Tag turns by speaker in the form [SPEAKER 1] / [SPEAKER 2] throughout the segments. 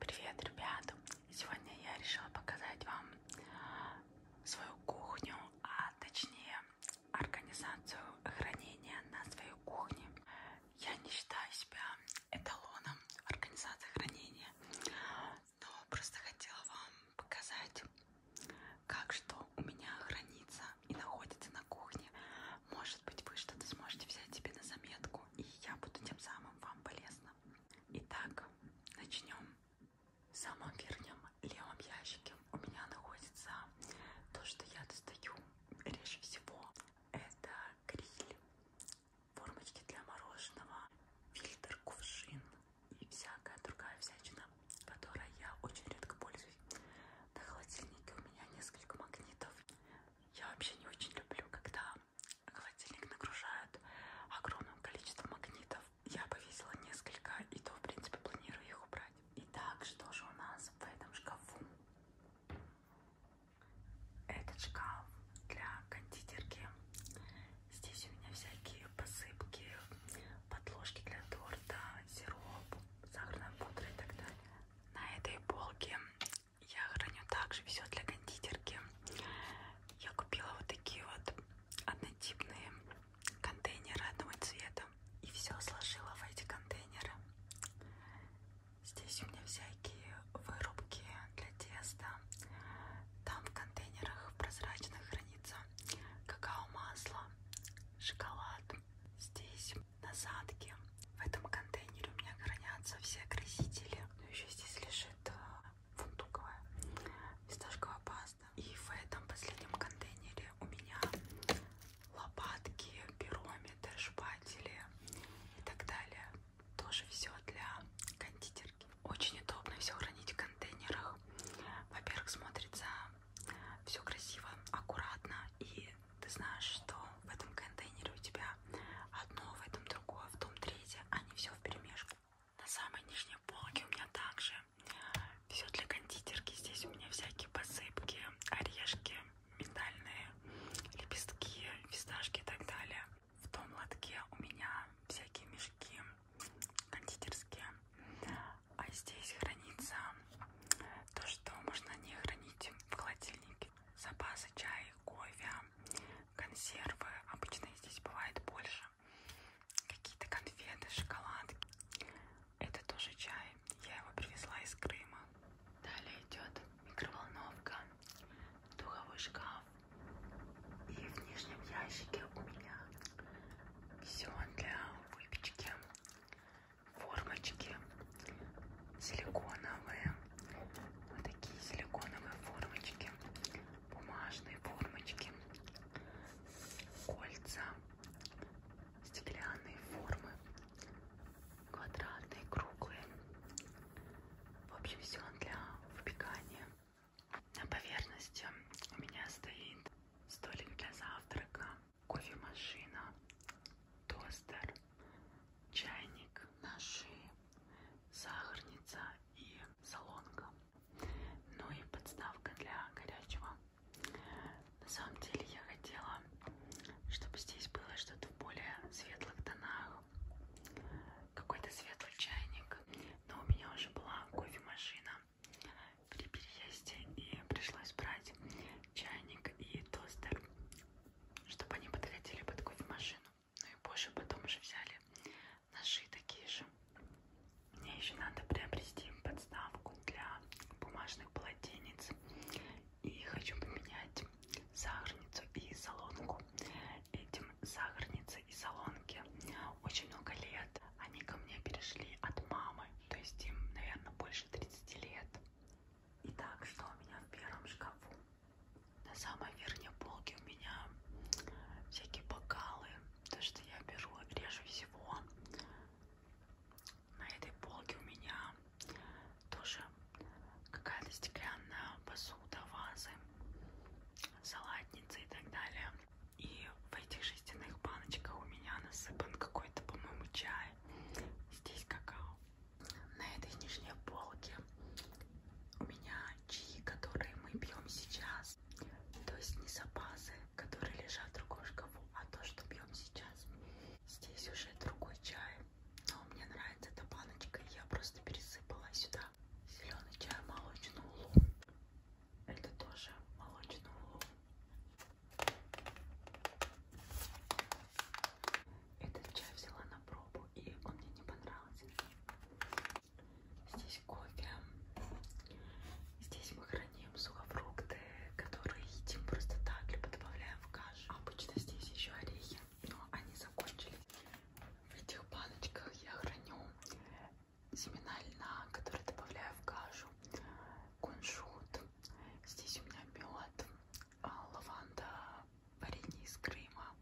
[SPEAKER 1] Привет, ребята! Сегодня я решила показать вам свою кухню, а точнее организацию хранения на своей кухне. Я не считаю себя эталоном организации хранения, но просто хотела вам показать, как что у меня хранится и находится на кухне. Может быть, вы что-то сможете взять себе на заметку, и я буду тем самым вам полезна. Итак, начнем. В самом верхнем левом ящике у меня находится то, что я достаю реже всего. Это гриль, формочки для мороженого, фильтр, кувшин, и всякая другая всячина, которой я очень редко пользуюсь. На холодильнике у меня несколько магнитов. Я вообще не очень люблю, когда холодильник нагружают огромным количеством магнитов. Я повесила несколько, и то, в принципе, планирую их убрать. Итак, что же у нас в этом шкафу? Этот шкаф для кондитерки. Здесь у меня всякие посыпки, подложки для торта, сироп, сахарная пудра и так далее. На этой полке я храню также все для кондитерки. Я купила вот такие вот однотипные контейнеры одного цвета. И все сложила в эти контейнеры. Здесь у меня всякие вырубки для теста, там в контейнерах прозрачных хранится какао-масло, шоколад. Здесь насадки. В этом контейнере у меня хранятся все красители. Но ну, еще здесь лежит э, фундуковая фисташковая паста. И в этом последнем контейнере у меня лопатки, пирометры, шпатели и так далее. Тоже все для кондитерки. Очень удобно все хранить в контейнерах. Во-первых, смотрится все красиво, аккуратно. И ты знаешь, что в этом контейнере у тебя одно, в этом другое, в том третье, а не все в перемешку. На самой нижней полке у меня также все для кондитерки. Здесь у меня всякие посыпки, орешки, миндальные лепестки, фисташки и так далее в том лотке у меня всякие мешки кондитерские, а здесь хранится то, что можно не хранить в холодильнике. Запасы чая, кофе, консервы. Обычно здесь бывает больше. Какие-то конфеты, шоколадки. Это тоже чай. Я его привезла из Крыма. Далее идет микроволновка, духовой шкаф, и в нижнем ящике у меня все для выпечки, формочки силиконовые, вот такие силиконовые формочки, бумажные формочки, кольца, стеклянные формы, квадратные, круглые. В общем, все для выпекания. На поверхности у меня стоит столик для завтрака, кофемашина, тостер, чайник, ножи, сахарница и солонка. Ну и подставка для горячего. На самом деле я хотела, чтобы здесь было что-то в более светлых тонах, какой-то светлый чайник. Но у меня уже была кофемашина при переезде, и пришлось брать чайник и тостер, чтобы они подходили под кофемашину. Ну и позже потом уже взяли ножи такие же. Мне еще надо приобрести подставку для бумажных полотенец. И хочу поменять сахарницу и солонку. Этим сахарницы и солонки очень много лет. Они ко мне перешли от мамы, то есть им, наверное, больше 30 лет. Итак, что у меня в первом шкафу? На самой верхней полке у меня всякие бокалы, то, что я беру, реже всего. На этой полке у меня тоже какая-то стеклянная посуда посуда, вазы, салатницы и так далее. И в этих жестяных баночках у меня насыпан какой-то, по-моему, чай. Здесь какао. На этой нижней полке у меня чаи, которые мы пьем сейчас. То есть не запасы, которые лежат в рукошкову, а то, что пьем сейчас. Здесь уже другой чай но мне нравится эта баночка, я просто пересыпала сюда зеленый чай молочную улу. Это тоже молочную улу. Этот чай взяла на пробу, и он мне не понравился. Здесь кофе. Здесь мы храним сухофрукты, которые едим просто так, либо добавляем в кашу. Обычно здесь еще орехи, но они закончились. В этих баночках я храню семена льна, которые добавляю в кашу, кунжут. Здесь у меня мед, а, лаванда, варенье из Крыма.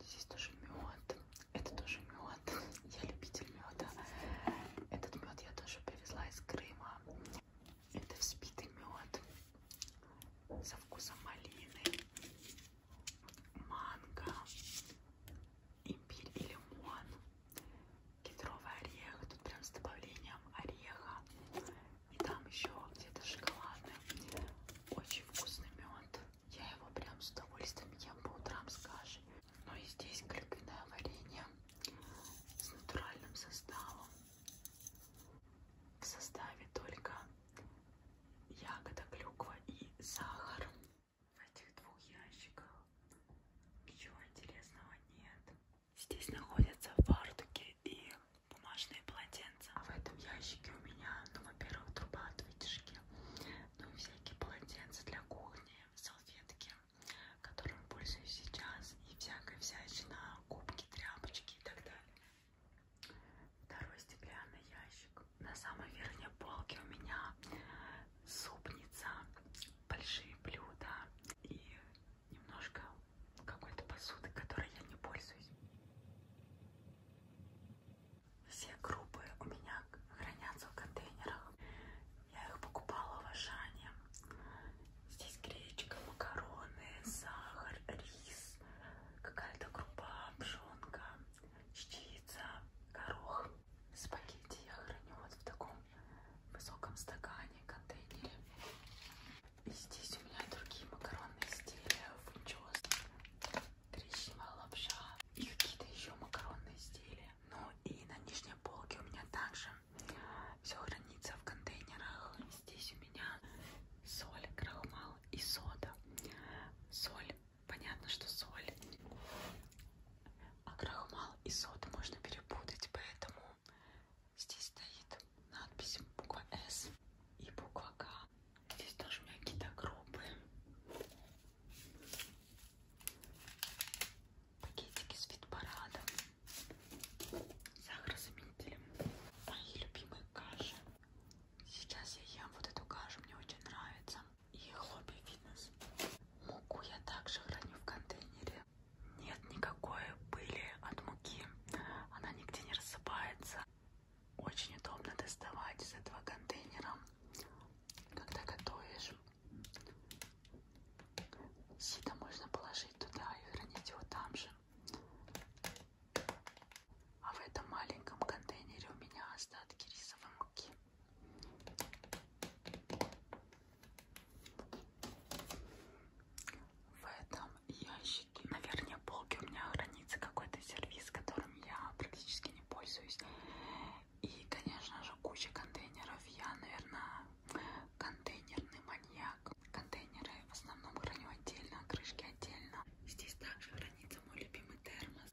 [SPEAKER 1] Здесь тоже мед. Это тоже мед. Я любитель меда. Этот мед я тоже привезла из Крыма. Это взбитый мед со вкусом малины, манго, имбирь и лимон, кедровый орех, тут прям с добавлением ореха. И там еще где-то шоколадный. Очень вкусный мед. Я его прям с удовольствием ем по утрам с кашей. Ну и здесь клюквенное варенье с натуральным составом в составе только ягода, клюква и сахар. В этих двух ящиках ничего интересного нет. Здесь находятся фартуки и бумажные полотенца. А в этом ящике у меня, ну, во-первых, труба от вытяжки, ну и всякие полотенца для кухни, салфетки, которым пользуюсь сейчас, и всякая всячина, кубки, тряпочки и так далее. Второй стеклянный ящик. На самой верхней полке у меня супница, большие блюда и немножко какой-то посуды, которой я не пользуюсь. Все группы у меня хранятся в контейнерах. Я их покупала в Ашане. Здесь гречка, макароны, сахар, рис, какая-то крупа, пшенка, чечевица, горох. Спагетти я храню вот в таком высоком стакане, контейнере. И здесь у меня другие макаронные изделия, фунчос, трещина, лапша и какие-то еще макаронные изделия. Ну и на нижней полке у меня также все хранится в контейнерах. Здесь у меня соль, крахмал и сода. Соль, понятно, что соль. А крахмал и соду можно перепутать, поэтому здесь стоит надпись буква С и буква К. Здесь тоже у меня какие-то группы. Пакетики с вид парадом сахарозаменителем. Мои любимые каши. Сейчас я ем вот эту кашу, мне очень нравится. И хлопья фитнес. Муку я также храню в контейнере. Нет никакой пыли от муки. Она нигде не рассыпается. Очень удобно доставать из этого контейнера, когда готовишь. Сито можно положить туда и хранить его там же. А в этом маленьком контейнере у меня остатки рисовой муки. В этом ящике на верхней полке у меня хранится какой-то сервис, которым я практически не пользуюсь. И, конечно же, куча контейнеров. Я, наверное, контейнерный маньяк. Контейнеры в основном храню отдельно, а крышки отдельно. Здесь также хранится мой любимый термос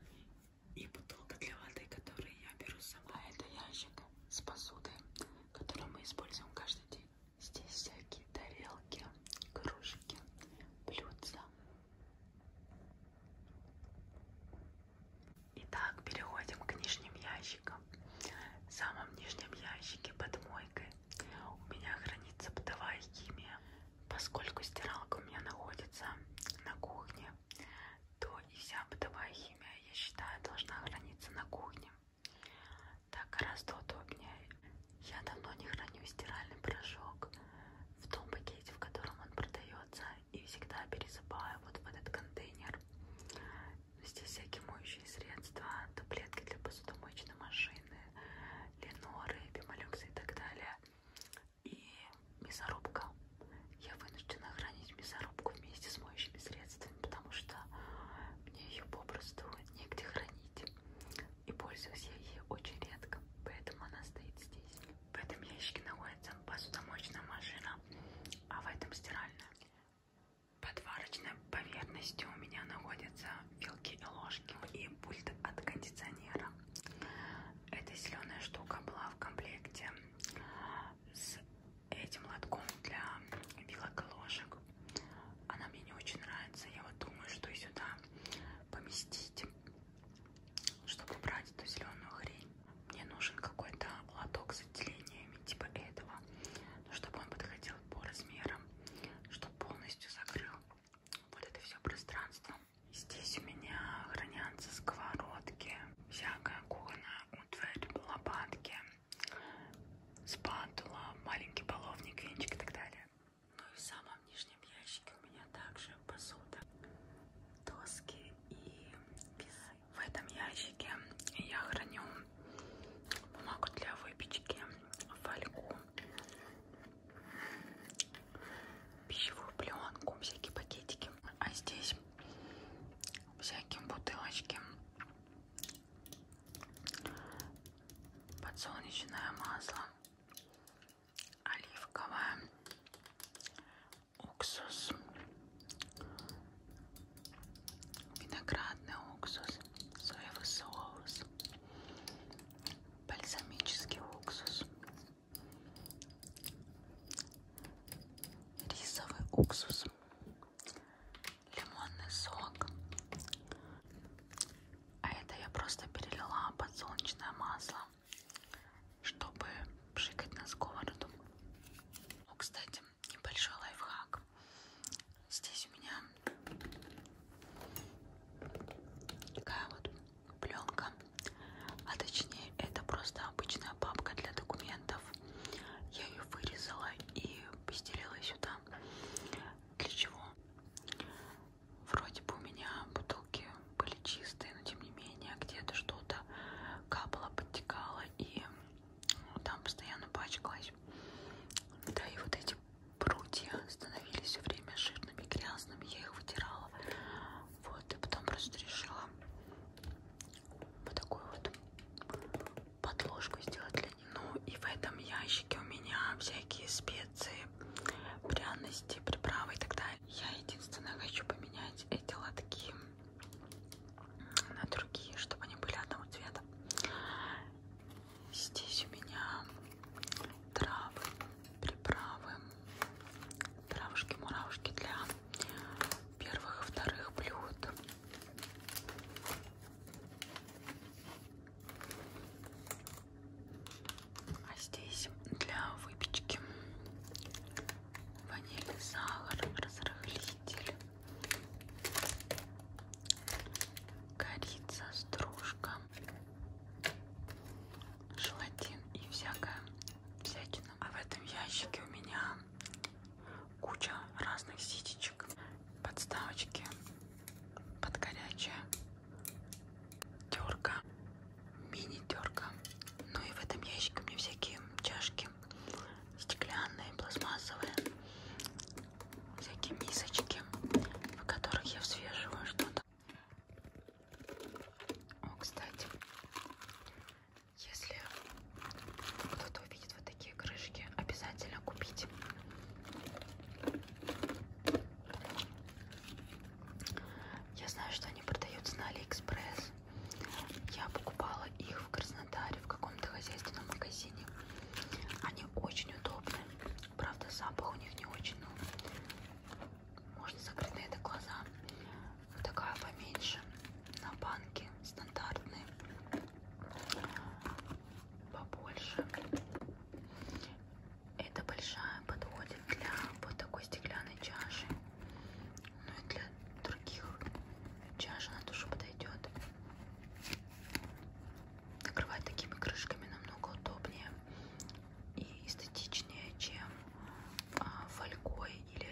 [SPEAKER 1] и бутылка для воды, которую я беру с собой. А это ящик с посудой, который мы используем каждый день. Здесь всякие тарелки, кружки, блюдца. Итак, переходим к нижним ящикам. В самом нижнем ящике под мойкой у меня хранится бытовая химия. Поскольку стиралка у меня находится на кухне, то и вся бытовая химия, я считаю, должна храниться на кухне. Так гораздо удобнее. Я давно не храню стиральный порошок в том пакете, в котором он продается, и всегда пересыпаю вот в этот контейнер. Здесь всякие моющие средства, таблетки для посудомоечной машины, леноры, бимолюксы и так далее. И мясорубка. Я вынуждена хранить мясорубку вместе с моющими средствами, потому что мне ее попросту негде хранить. И пользуюсь я ей очень редко, поэтому она стоит здесь. В этом ящике находится посудомоечная машина, а в этом стиральная. Под варочной поверхностью у меня находятся вилки и ложки и пульт от кондиционера. Эта зеленая штука была в комплекте с этим лотком для вилок и ложек. Она мне не очень нравится. Я вот думаю, что и сюда поместить, чтобы убрать эту зеленую хрень мне нужен какой-то лоток с отделениями типа этого, но чтобы он подходил по размерам, чтобы полностью закрыл вот это все пространство. Здесь у меня хранятся сковородки, всякая кухонная утварь, лопатки, спатула, маленький половник, венчик и так далее. Ну и в самом нижнем ящике у меня также посуда, доски и весы. В этом ящике я храню бумагу для выпечки, фольгу, пищевую пленку, всякие пакетики. А здесь всякие бутылочки, подсолнечное масло, оливковое, уксус, виноградный уксус, соевый соус, бальзамический уксус, рисовый уксус, лимонный сок. А это я просто перелила подсолнечное масло чтобы пшикать на сковороду. Ну, кстати, небольшой лайфхак. Здесь у меня такая вот пленка, а точнее это просто обычная папка для документов. Я ее вырезала и постелила сюда. Для чего? Вроде бы у меня бутылки были чистые, но тем не менее где-то что-то капало, подтекало и ну, там постоянно пачкалось. Да, и вот эти прутья становились все время жирными, грязными, я их вытирала. Вот, и потом просто решила вот такую вот подложку сделать для них. Ну и в этом ящике у меня всякие специи, пряности, приправы и так далее. Я единственное хочу поменять эти лотки на другие, чтобы они были одного цвета. Здесь у меня травы, приправы, травушки, муравушки для первых и вторых блюд. А здесь для выпечки ваниль, сахар, разрыхлитель, корица, стружка, желатин и всякая всякина. А в этом ящике у меня куча разных ситечек, подставочки под горячее, терка, мини-терка. Ну и в этом ящике у меня всякие чашки стеклянные, пластмассовые, всякие мисочки, в которых я взвешиваю что-то. О, кстати, если кто-то увидит вот такие крышки, обязательно купите. Я знаю, что они продаются на Алиэкспресс. Я покупала их в Краснодаре в каком-то хозяйственном магазине. Они очень удобны. Правда, запах у них не очень, но можно закрыть на это глаза. Вот такая поменьше. На банке стандартные. Побольше эта большая подходит для вот такой стеклянной чаши. Ну и для других чаш она тоже подойдет. Накрывать такими крышками намного удобнее и эстетичнее, чем а, фольгой или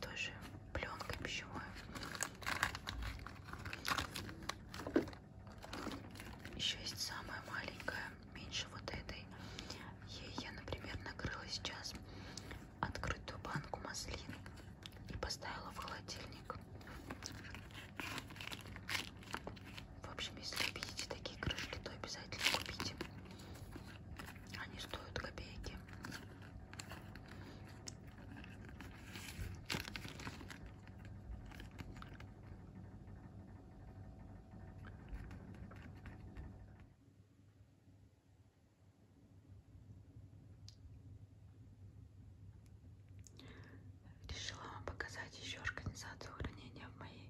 [SPEAKER 1] тоже пленкой пищевой. Еще есть самая маленькая меньше вот этой. Ей я, например, накрыла сейчас открытую банку маслин и поставила в холодильник. В общем, если видите такие крышки, то обязательно купите. Они стоят копейки. Решила вам показать еще организацию хранения в моей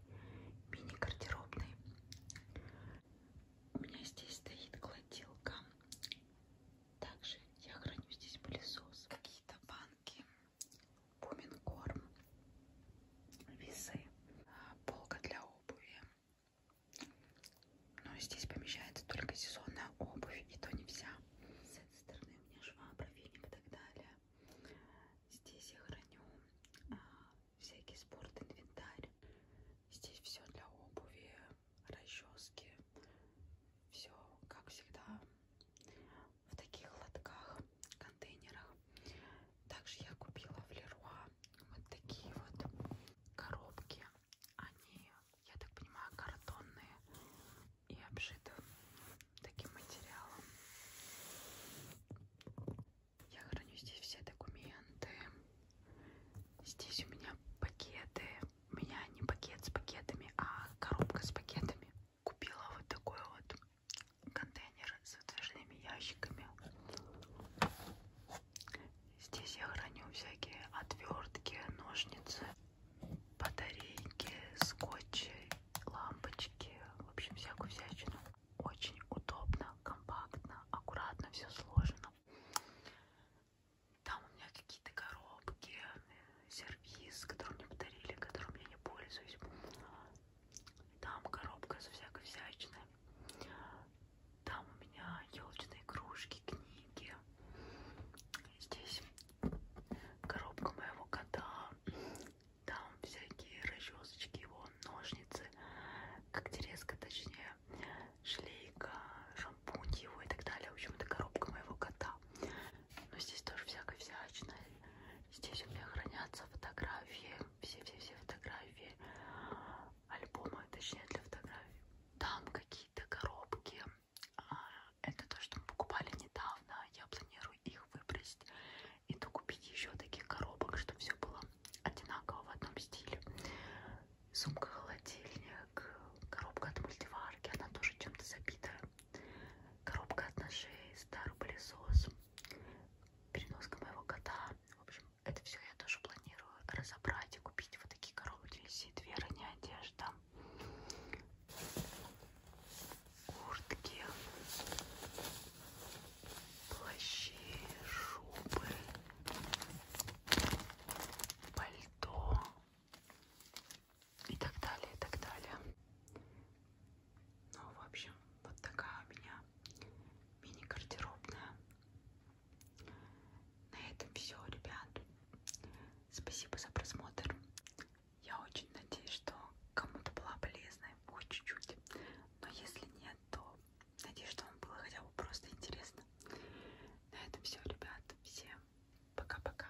[SPEAKER 1] мини-гардеробной. У меня здесь стоит кладилка. Также я храню здесь пылесос, какие-то банки, Буминкорм, весы, а, полка для обуви. Но здесь помещается только сезонная обувь, и то не вся. С этой стороны у меня швабра, веник и так далее. Здесь я храню а, всякий спорт, инвентарь. Здесь все для обуви, расчески. Все, как всегда, в таких лотках контейнерах. Также я купила в Леруа вот такие вот коробки. Они, я так понимаю, картонные и обшиты таким материалом. Я храню здесь все документы. Здесь у меня пакеты. У меня не пакет с пакетами, а коробка с пакетами купила вот такой вот контейнер с выдвижными ящиками. Здесь я храню всякие отвертки, ножницы, батарейки, скотчи, лампочки, в общем всякую всячину. Очень удобно, компактно, аккуратно все сложено. Там у меня какие-то коробки, сервис, который мне подарили, которым я не пользуюсь. Там коробка со всякой всячиной. Там у меня елочные игрушки, книги. Здесь коробка моего кота. Там всякие расчесочки, его ножницы, когтерезка, точнее, шлейка, шампунь его и так далее. В общем, это коробка моего кота. Но здесь тоже всякое всячное. Здесь у меня хранятся фотографии, все-все-все фотографии, альбомы, точнее для фотографий. Там какие-то коробки. А, это то, что мы покупали недавно. Я планирую их выбросить и докупить еще таких коробок, чтобы все было одинаково в одном стиле. Сумка-холодильник, коробка от мультиварки, она тоже чем-то забитая коробка от ножей, старый пылесос, переноска моего кота. В общем, это все я тоже планирую разобрать и купить вот такие коробки. Висит вера, не одежда. Куртки, плащи, шубы, пальто и так далее, и так далее. Ну, в общем, вот такая у меня мини-гардеробная. На этом все, ребят. Спасибо за просмотр. Я очень надеюсь, что кому-то была полезной, хоть чуть-чуть. Но если нет, то надеюсь, что вам было хотя бы просто интересно. На этом все, ребят. Всем пока-пока.